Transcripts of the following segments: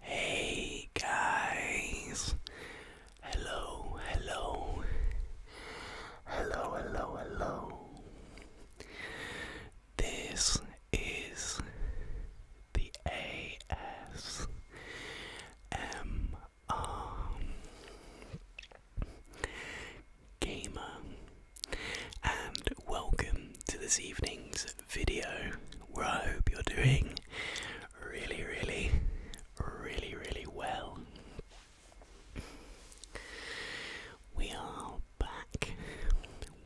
Hey guys, hello, hello, hello, hello, hello. This is the ASMR Gamer, and welcome to this evening's video where I hope you're doing really, really, really, really well. We are back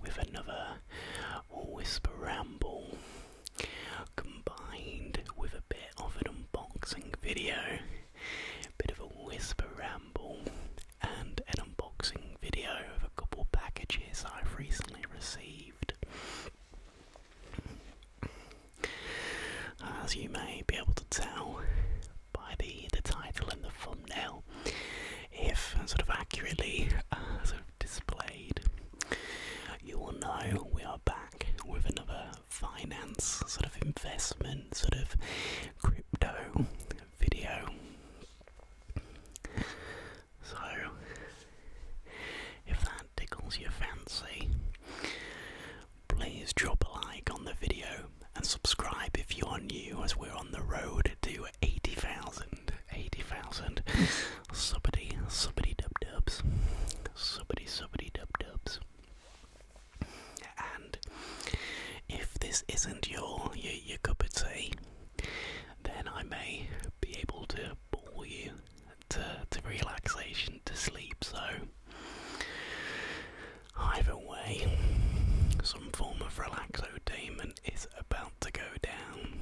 with another whisper ramble combined with a bit of an unboxing video. Bit of a whisper ramble and an unboxing video of a couple packages I've recently received. As you may be able to tell by the the title and the font now, if sort of accurately uh, sort of displayed, you will know we are back with another finance sort of investment sort of crypto video. So, if that tickles your fancy, please drop a like on the video and subscribe if you are new, as we're on the road to to 80,000. 80,000. Somebody, somebody dub dubs. Somebody, somebody dub dubs. And if this isn't your, your, cup of tea, then I may be able to bore you to, to relaxation, to sleep. So, either way, some form of relaxotainment is about to go down.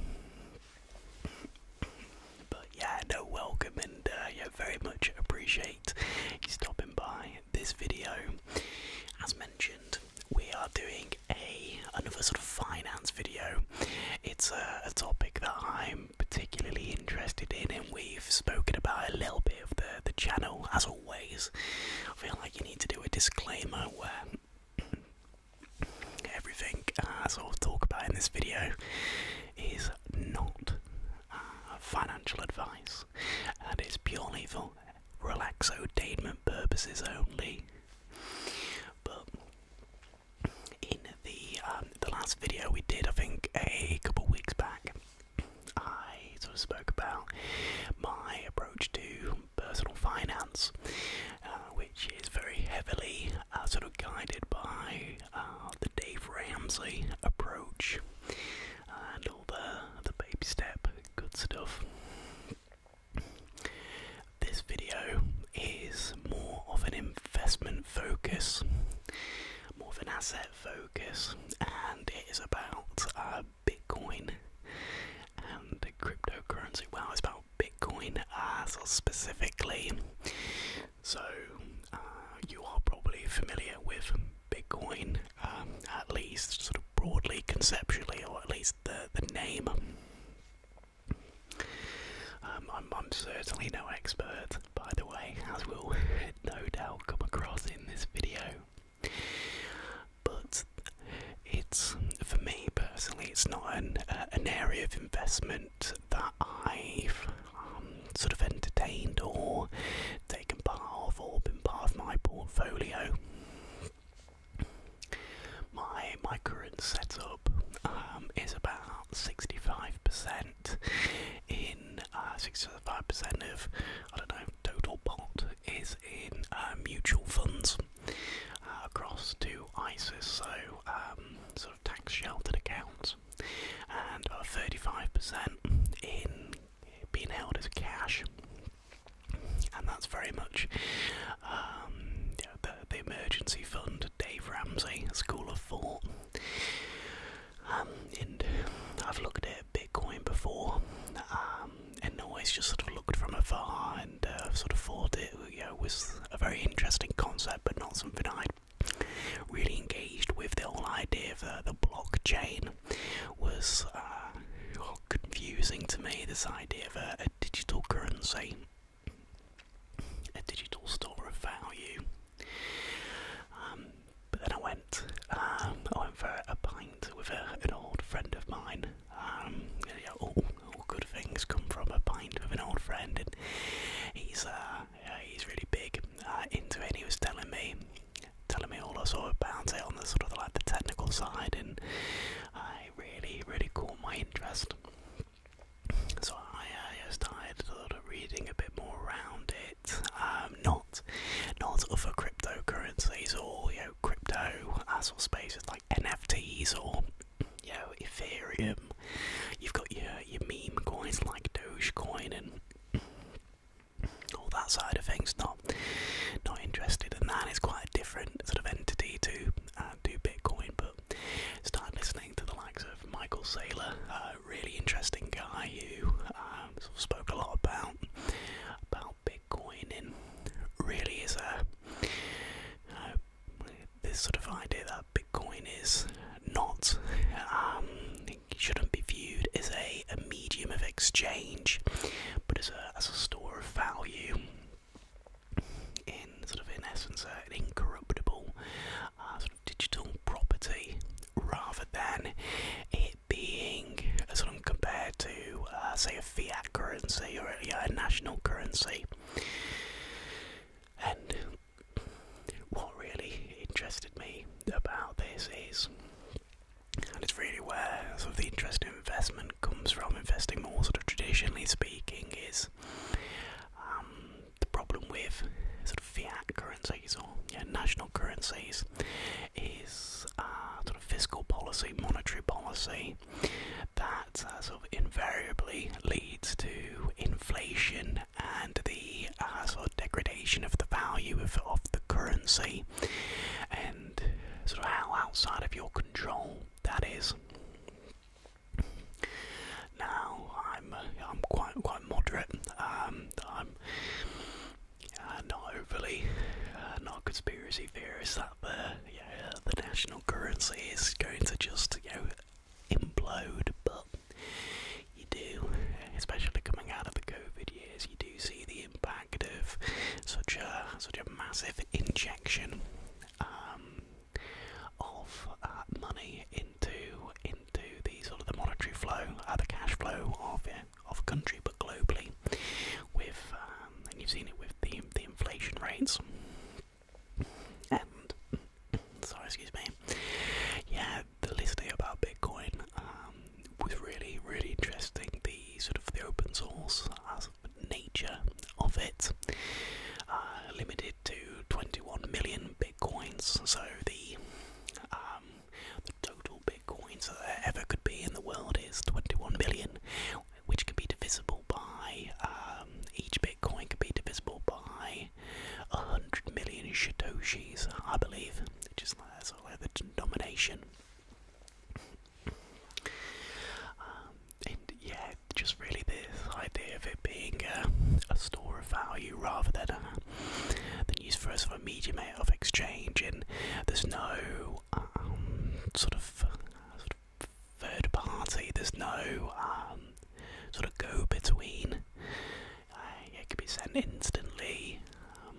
But yeah, no, welcome, and uh, yeah, very much appreciate you stopping by this video. As mentioned, we are doing a another sort of finance video. It's a, a topic that I'm particularly interested in, and we've spoken about a little bit of the the channel as always. I feel like you need to do a disclaimer where everything I sort of talk about in this video is not uh, financial advice, and it's purely for relaxotainment purposes only. But in the um, the last video we did, I think a couple weeks back, I sort of spoke about my approach to personal finance, uh, which is very heavily uh, sort of guided by uh, the Dave Ramsey approach and all the, the baby step good stuff. This video is more of an investment focus, more of an asset focus, and it is about Bitcoin and cryptocurrency. Well, it's about Bitcoin uh, so specifically. So, uh, you are probably familiar with Bitcoin, uh, at least sort of broadly, conceptually, or at least the, the name. Um, I'm, I'm certainly no expert, by the way, as we will no doubt come across in this video. But it's for me personally, it's not an uh, an area of investment that I've um, sort of entertained or taken part of or been part of my portfolio. My my current setup um, is about sixty five percent in uh, sixty five percent of I don't know total pot is in uh, mutual funds uh, across to ISIS, so um, sort of tax sheltered accounts, and 35% uh, in being held as cash. And that's very much um, the, the emergency fund, Dave Ramsey, School of Thought. Um, I've looked at Bitcoin before, and always just sort of looked from afar and uh, sort of thought it you was a very interesting concept, but not something I'd really engaged with. The whole idea of uh, the blockchain was uh, confusing to me. This idea of a, digital currency, a digital store of value. Um, but then I went, um, I went for a pint with an old friend of mine um, yeah, all, all good things come from a pint with an old friend, and he's uh, yeah, he's really big uh, into it. he was telling me, telling me all I saw about it on the sort of like the technical side, and I really, really caught my interest. So I uh, a sort of reading a bit more around it. Um, not, not other cryptocurrencies or you know crypto, that sort space with like NFTs or you know, Ethereum. You've got your your meme coins like Dogecoin and all that side of things. Not not interested in that. It's quite a different sort of entity to do uh, Bitcoin, but start listening to the likes of Michael Saylor, a really interesting guy who um, spoke a lot about about Bitcoin and really is a uh, this sort of idea that Bitcoin is not um, shouldn't be viewed as a, a medium of exchange, but as a as a store of value. In sort of in essence, uh, incorruptible sort of digital property, rather than it being being compared to, uh, say, a fiat currency or a, national currency. And what really interested me about this is, and it's really where sort of the interest in investment comes from, investing more sort of traditionally speaking, is um, the problem with sort of fiat currencies or national currencies is uh, sort of fiscal policy, monetary policy, that uh, sort of invariably leads to inflation and the uh, sort of degradation of the value of, of the currency and sort of how outside of your control that is. Now I'm uh, I'm quite quite moderate. Um, I'm not overly not conspiracy theorist. Uh, the national currency is going to just, you know, implode, but you do, especially coming out of the COVID years, you do see the impact of such a, such a massive injection um, of uh, money into, into the sort of the monetary flow, uh, the cash flow of, of a country, but globally, with um, and you've seen it with the the inflation rates. And sorry, excuse me. Yeah, the listing about Bitcoin um, was really, really interesting. The sort of the open source nature of it, uh, limited to 21 million bitcoins. So the um, the total bitcoins that there ever could be in the world is twenty one billion which can be divisible by um, each Bitcoin can be divisible by a hundred million satoshis, I believe, just like that's all like the denomination. Um, and yeah, just really this idea of it being a store of value rather than a, uh, than used for us a medium of exchange, and there's no um, sort of uh, third party. There's no um, sort of go between. Uh, it can be sent instantly. Um,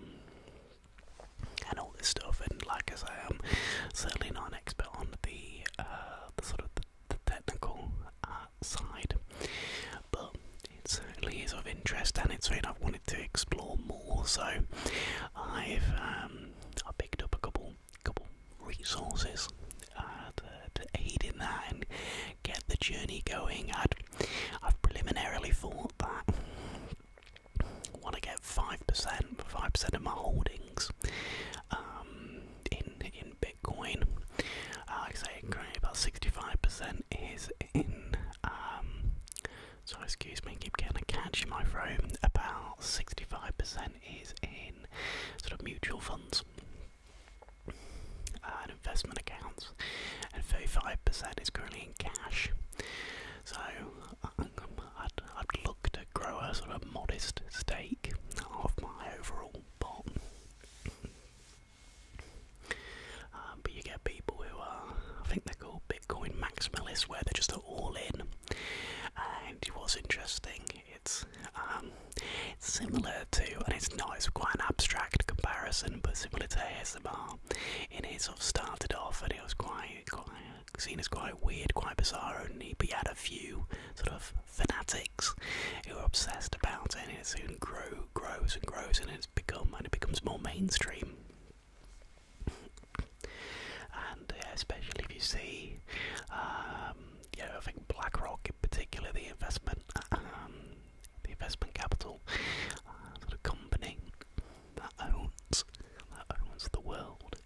and all this stuff, and like as I'm certainly not an expert on the, uh, sort of the, technical uh, side, but it certainly is of interest, and it's something I've wanted to explore more. So I've um, I picked up a couple couple resources uh, to, aid in that and get the journey going. I'd, I've preliminarily thought that I want to get 5%, 5% of my holdings um, in, in Bitcoin. Uh, like I say, currently about 65% is in um, so excuse me, keep getting a catch, my friend. About 65% is in sort of mutual funds and investment accounts, and 35% is currently in cash. So I'd, look to grow a sort of modest stake of my overall pot. Um, but you get people who are, I think they're called Bitcoin maximalists, where they're just all in and was interesting, it's um, it's similar to, and it's not, it's quite an abstract comparison, but similar to ASMR. In it sort of started off, and it was quite, quite seen as quite weird, quite bizarre, And but you had a few sort of fanatics who were obsessed about it, and it soon grew, grows and grows, and it's become, and it becomes more mainstream. And especially if you see, um, I think BlackRock in particular, the investment, um, the investment capital uh, sort of company that owns that owns the world.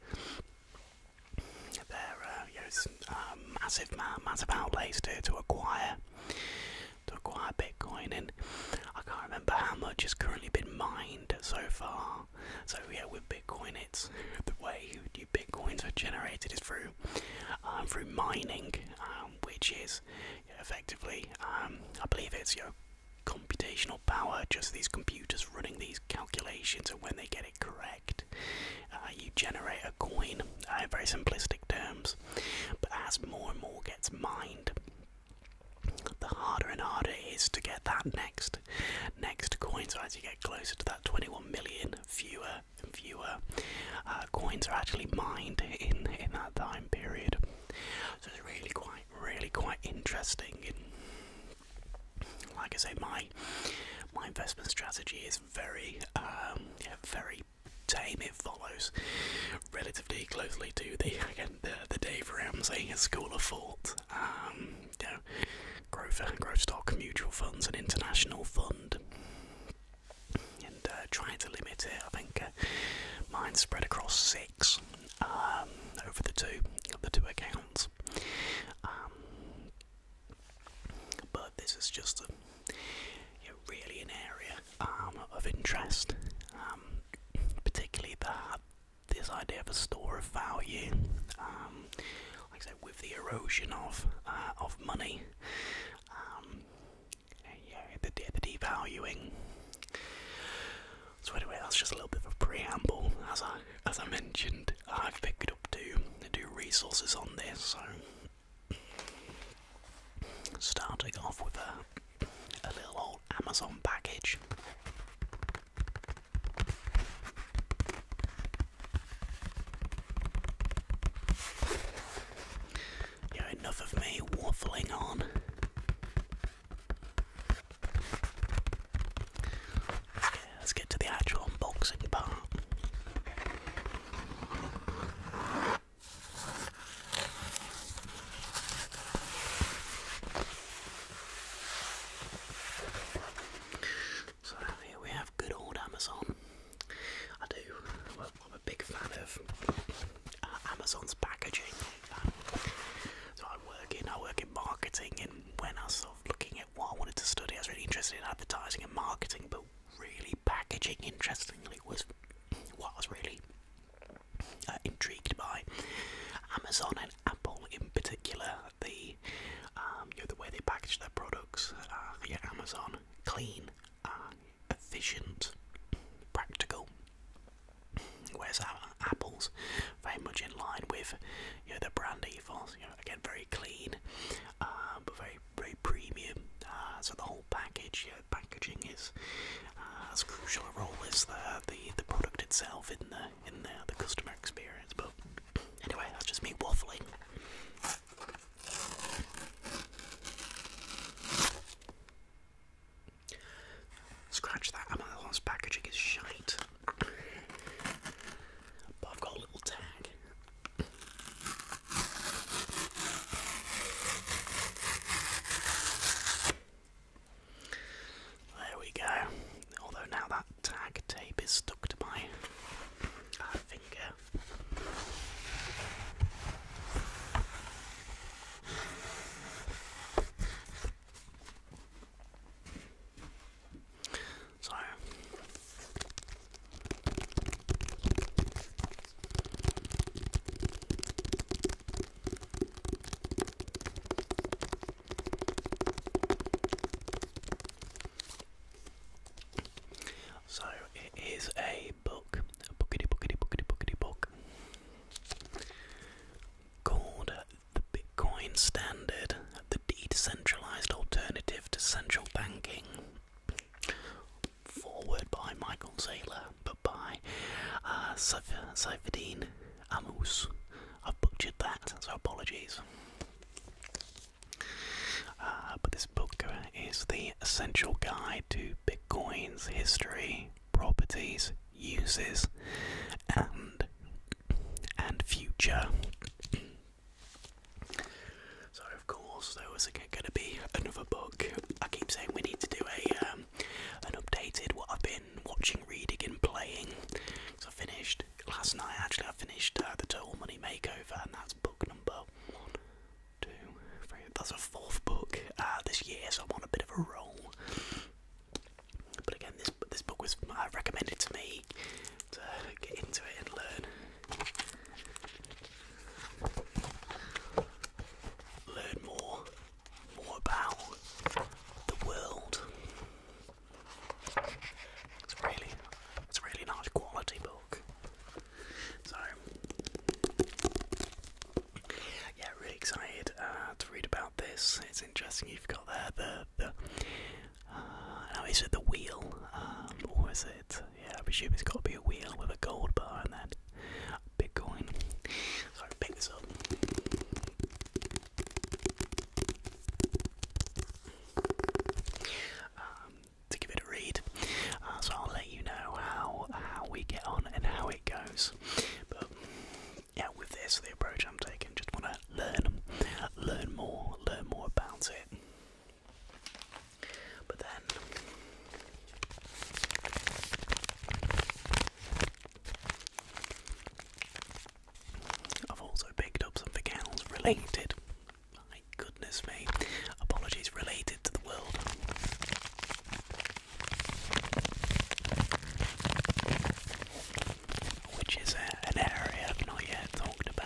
There are uh, um, massive, massive outlays to to acquire to acquire Bitcoin, and I can't remember how much has currently been mined so far. So yeah, with Bitcoin, it's the way you bitcoins are generated is through um, through mining, um, which is effectively, um, I believe it's your computational power, just these computers running these calculations, and when they get it correct, uh, you generate a coin uh, very simplistic terms. But as more and more gets mined, the harder and harder it is to get that next next coin. So as you get closer to that 21 million, fewer and fewer uh, coins are actually mined in in that time period. So it's really quite really quite interesting. And like I say, my my investment strategy is very um, very tame. It follows relatively closely to the the the Dave Ramsey School of Thought. Um, yeah, growth, growth stock, mutual funds, and international fund, and uh, trying to limit it. I think uh, mind spread across six um, over the two the two accounts. Um, but this is just a, really an area um, of interest, particularly that this idea of a store of value. Um, like I said, with the erosion of uh, of money, um, yeah, the, devaluing. So anyway, that's just a little bit of a preamble. As I as I mentioned, I've picked up two two resources on this. So starting off with a a little old Amazon package. Yeah, enough of me waffling on. Let's get, to the actual unboxing part. So here we have good old Amazon. I do. I'm a big fan of uh, Amazon's packaging. so I work in I work in marketing, and when I was looking at what I wanted to study, I was really interested in advertising and marketing, but really packaging, interestingly, was what I was really uh, intrigued by. Amazon and Apple in particular that um, you know, the way they package their products. Uh, yeah, Amazon, clean, uh, efficient, practical. Whereas uh, Apple's very much in line with, you know, their brand ethos. You know, again, very clean, uh, but very very premium. Uh, so the whole package, yeah, packaging is as crucial a role as the the, the product itself isn't the in there, the customer experience. But anyway, that's just me waffling. Scratch that, Amazon's packaging is shite. But I've got a little tag. There we go. Although now that tag tape is stuck to my uh, finger. So so it is a book, a bookity bookity bookity bookity book called The Bitcoin Standard, the Decentralized Alternative to Central Banking. Forward by Michael Saylor, but by uh, Saifedean Amos. I butchered that, so apologies. Uh, but this book is the essential guide to Bitcoin's history, properties, uses, and and future. So of course there was going to be another book. I keep saying we need to do a um, an updated what I've been watching, reading, and playing. So I finished last night actually I finished uh, the Total Money Makeover, and that's book number one, two, three. That's a fourth book uh, this year, so I'm on a bit of a roll. But again, this this book was uh, recommended to me to get into it and learn, learn more, more about the world. It's really, it's a really nice quality book. So, yeah, really excited uh, to read about this. It's interesting you've got there the the. now uh, is it the wheel, um, it? Yeah, I presume it's got to be a wheel with a gold bar and then Bitcoin. So I this up. Um, to give it a read. Uh, so I'll let you know how how we get on and how it goes. But yeah, with this, the approach I'm taking, just want to learn, learn more, learn more about it. But then. I've also picked up something else related. My goodness me. Apologies related to the world. Which is uh, an area I've not yet talked about.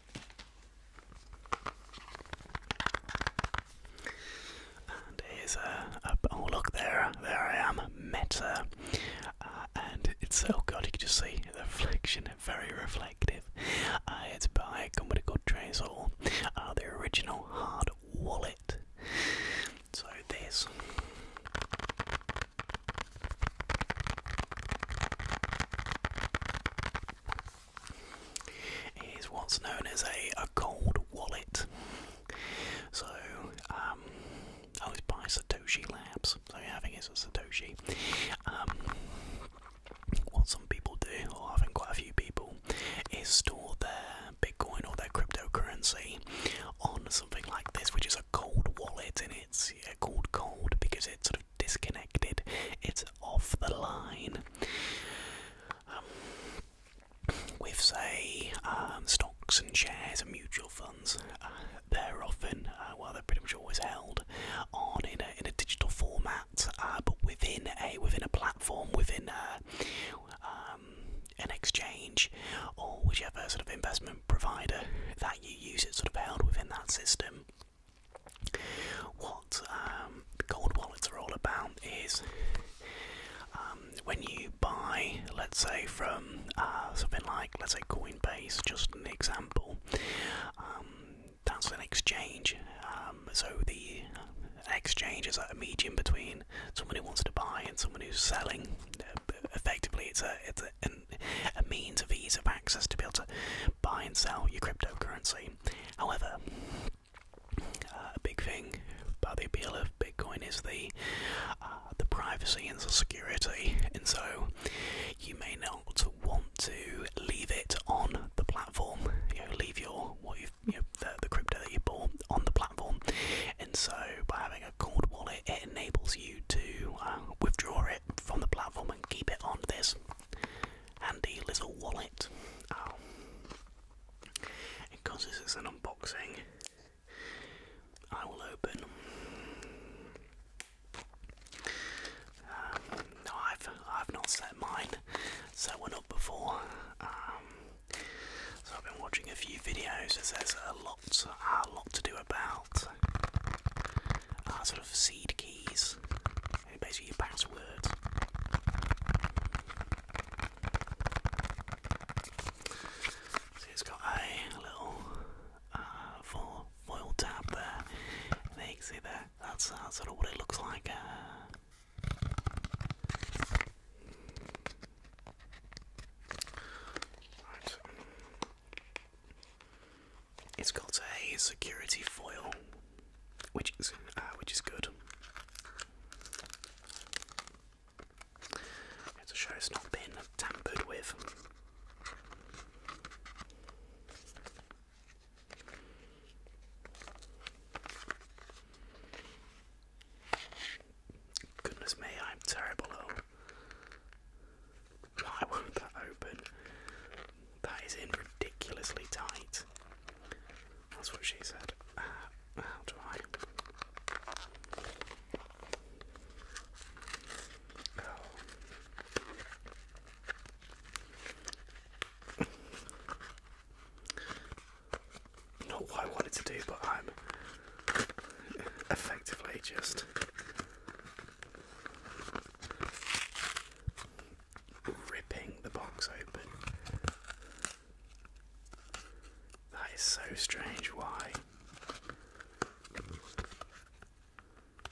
And here's a, oh look there, there I am, Meta, uh, and it's oh God You can just see the reflection, very reflective. Uh, it's by a good called Trezor, uh, the original hard wallet. So this is what's known as a, a cold wallet. So, um, always buy Satoshi Labs. So, yeah, I think it's a Satoshi. Um, what some people do, or I think quite a few people, is store their Bitcoin or their cryptocurrency on something like this, which is a cold wallet, and it's yeah, called cold because it's sort of disconnected. It's off the line. Um, with say um, stocks and shares and mutual funds, uh, they're often uh, well they're pretty much always held on in a digital format, uh, but within a within a platform within um, an exchange or whichever sort of investment provider that you use. It's sort of held within that system. What um, gold wallets are all about is um, when you buy, let's say, from uh, something like, let's say, Coinbase, just an example. Um, that's an exchange. so the exchange is a medium between someone who wants to buy and someone who's selling. Uh, effectively, it's a it's a means of ease of access to be able to buy and sell your cryptocurrency. However, uh, a big thing about the appeal of Bitcoin is the uh, the privacy and the security, and so you may not want to leave it on the platform. You know, leave your the, crypto that you bought on the platform, and so by having a cold wallet, it enables you to uh, withdraw it from the platform and keep it on this handy little wallet. because this is an unboxing, I will open. Um, I've I've not set mine, set one up before. Um, so I've been watching a few videos. there's a lot a lot to do about uh, sort of seed keys basically your password. So it's got a little uh, foil, tab there. There you can see there. That's, uh, sort of what it looks like. Uh. Right. It's got a security foil, which is uh, which is good. It's show it's not been tampered with. Goodness me, I'm terrible. Why won't that open? That is in ridiculously tight. That's what she said. Uh, how do I? Not what I wanted to do, but I'm effectively just ripping the box open. That is so strange. Why?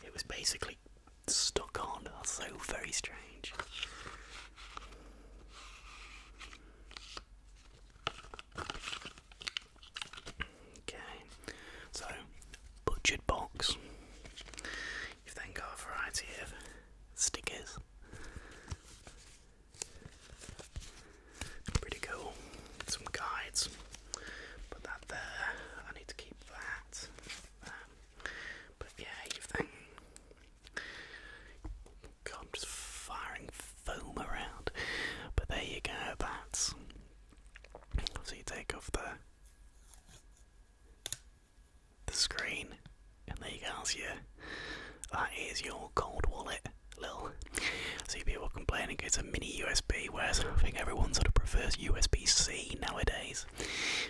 It was basically stuck on. That's so very strange. Okay, so butchered box. You've then got a variety of stickers. Pretty cool. Some guides. Put that there. I need to keep that. Um, but yeah, you've then. just firing foam around. But there you go, that's. So you take off the the screen, and there you go. So yeah, that is your cold wallet. Little, see people complaining it's a mini USB, whereas I think everyone sort of prefers USB-C nowadays.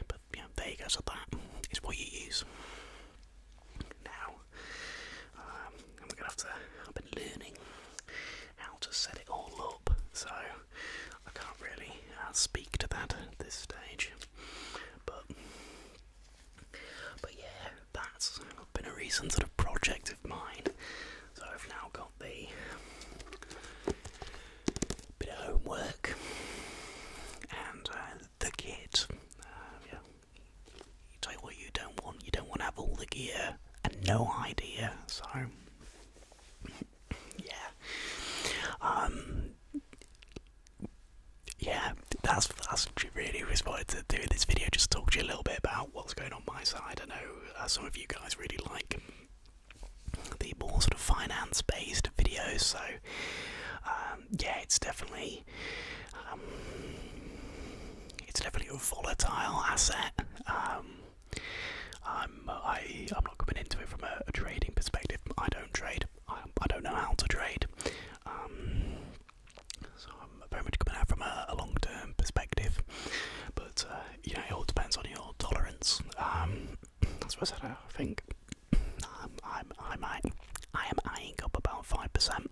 But yeah, there you go. So that is what you use. Now, um, I'm gonna have to. I've been learning how to set it all up, so I can't really uh, speak to that at this stage. But but yeah, that's been a recent sort of project of mine. So I've now got the bit of homework and uh, the kit. Uh, yeah, you take what you don't want. You don't want to have all the gear and no idea. So yeah. Um, yeah, that's that's really what I to do in this video. Just talk to you a little bit about what's going on my side. I know uh, some of you guys really like the more sort of finance-based videos, so um, yeah, it's definitely um, it's definitely a volatile asset. Um, I, I'm not coming into it from a, trading perspective. I don't trade. I, I don't know how to trade. Um, so I'm very much coming out from a, long-term perspective. But uh, you know, it all depends on your tolerance. Um, that's what I said. I think um, I'm, I might, I am eyeing up about five percent.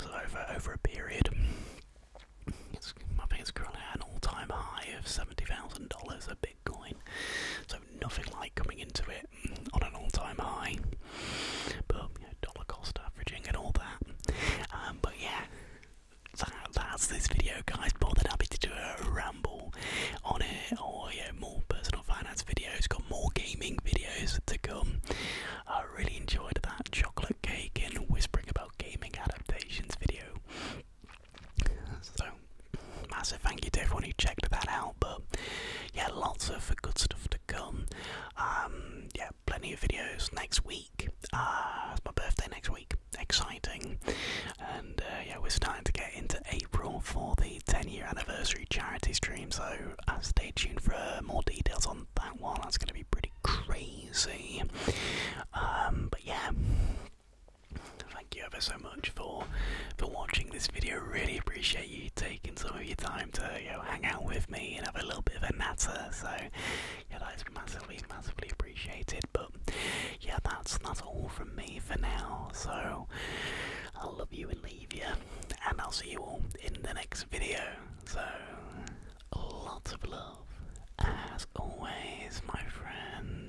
so over over a period. It's, I think it's currently at an all-time high of seventy thousand dollars a bit. Bitcoin. So nothing like coming into it on an all-time high. But dollar cost averaging and all that. Um, but yeah, that's this video, guys. More than happy to do a ramble on it, or yeah, more personal finance videos. Got more gaming videos to come. I really enjoyed that chocolate cake and whispering about gaming adaptations video. So, massive thank you to everyone who checked that out. But yeah, lots of good stuff to come. Um, yeah, plenty of videos next week. Uh, it's my birthday next week. Exciting. And uh, yeah, we're starting to get into April for the 10 year anniversary charity stream. So uh, stay tuned for more details on that one. That's going to be pretty crazy. Um, but yeah. Thank you ever so much for for watching this video. Really appreciate you taking some of your time to you know, hang out with me and have a little bit of a natter. So yeah, that is massively, massively appreciated. But yeah, that's that's all from me for now. So i love you and leave you, and I'll see you all in the next video. So lots of love, as always, my friend.